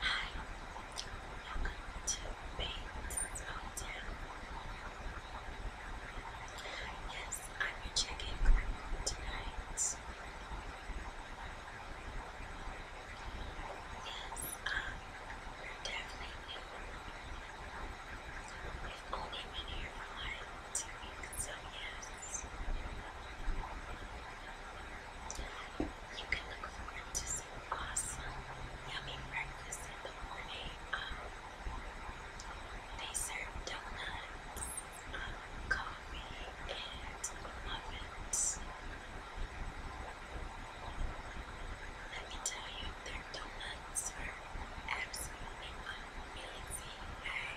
Hi, welcome to Bates Mountain. Yes, I'm your check-in tonight. Yes, um, you're definitely new. We've only been here for like two weeks, so Yes, you can look forward to some awesome, yummy breakfast in the morning. Um, they serve donuts, um, coffee, and muffins. Let me tell you, their donuts are absolutely amazing. I,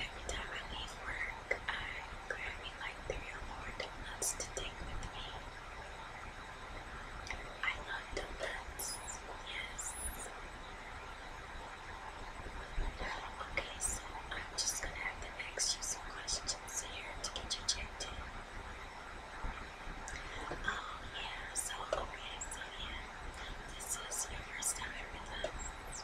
every time I leave work, I'm like three or four donuts to take with me. I love donuts, yes. Okay, so I'm just gonna have the next you questions here to get you checked in. Oh yeah, so okay, so yeah, this is your first time with us.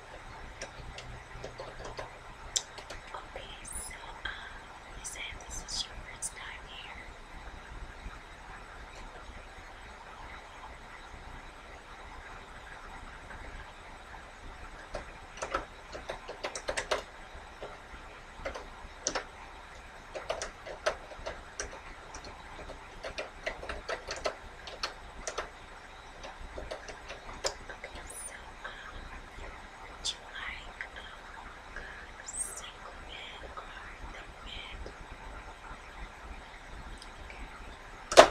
Okay, so um, you said this is your first time here. Okay, Okay, so, um, would you like um, the single red or the red? Okay. Okay,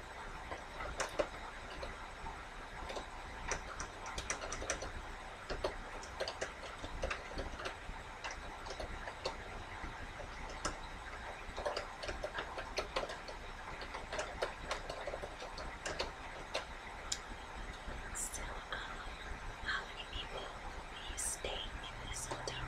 So, um, how many people will be staying in this hotel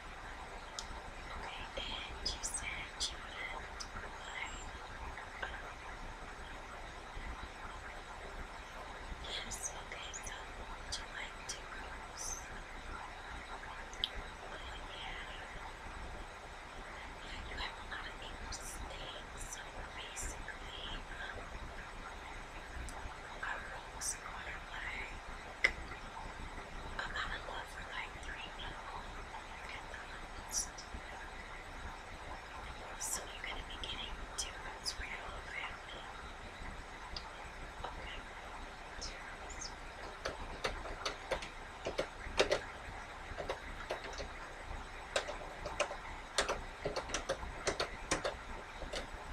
Okay, and you said you would yes, okay, so would you like to rooms? Oh yeah, you have a lot of English things, so basically, um, almost I'm out love for like three people So you're gonna be getting two votes for your whole family. Okay.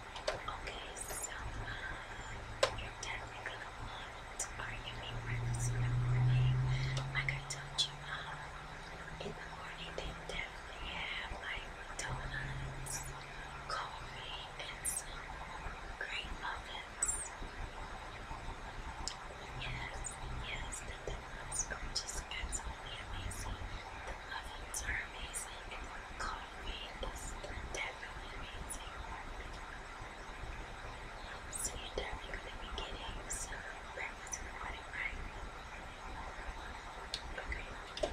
Okay, so uh, you're definitely gonna want our yummy breakfast in the morning. Like I told you, uh, in the morning they definitely have like donuts, coffee, and some great muffins. Yes, yes, the donuts are just absolutely amazing. The muffins are amazing. Coffee is definitely amazing. So you definitely gonna be getting some breakfast in the morning, Okay.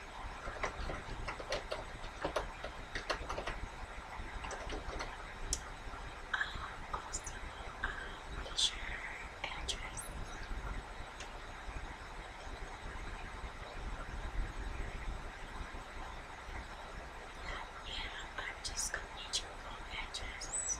Um, also, um, what is your address? Yeah, I'm just gonna need your full address.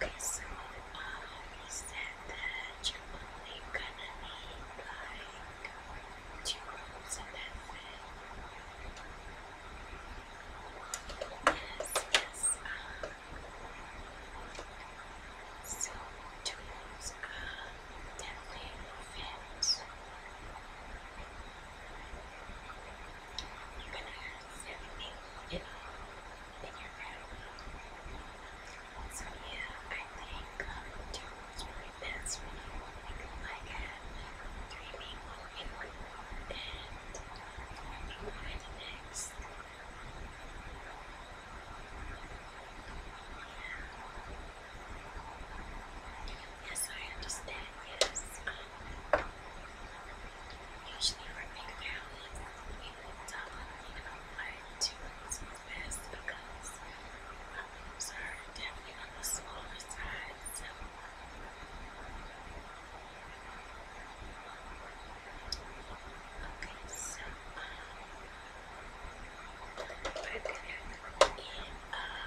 Okay, so um, he that you gonna need like two rooms and that's it. Yes, yes. Um, so two rooms um, definitely fit yeah. So yeah, I think two was really best when you like had three people in one room and I think by the yeah. Yes, I understand, yes usually for are big families, we moved up, like two months was best because my rooms are definitely on the smaller side, Okay, so um, we gonna end uh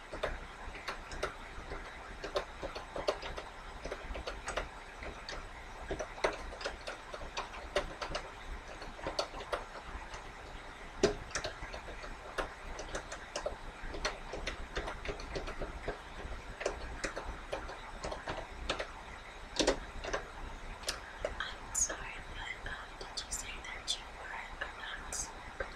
I'm sorry, but um, did you say that you were a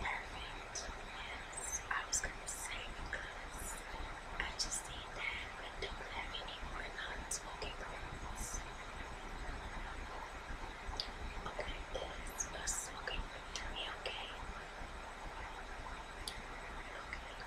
Perfect. Yes, I was gonna say because I just need that, but don't have any more non-smoking rooms. Okay, this is smoking room me, okay? Okay.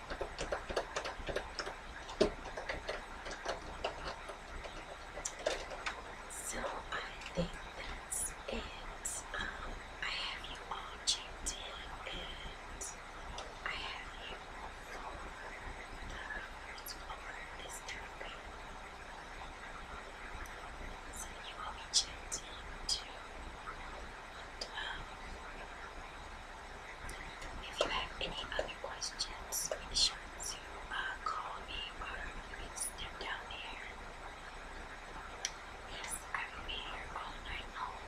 So I think that's it. Um, I have you all checked in and I have you for the for this therapy. So you will be checked in to 12. If you have any other questions, be sure to uh, call me or you can step down here. Yes, I will be here all night long.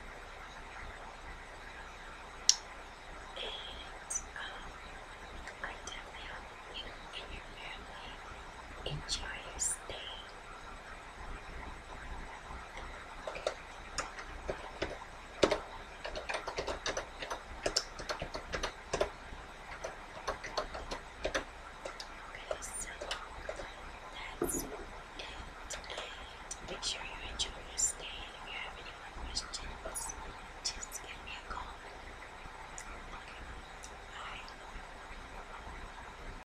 And um, I definitely hope you and your family enjoy your stay. Okay, so that's it. make sure you enjoy your stay. if you have any more questions, just give me a call. Okay, bye.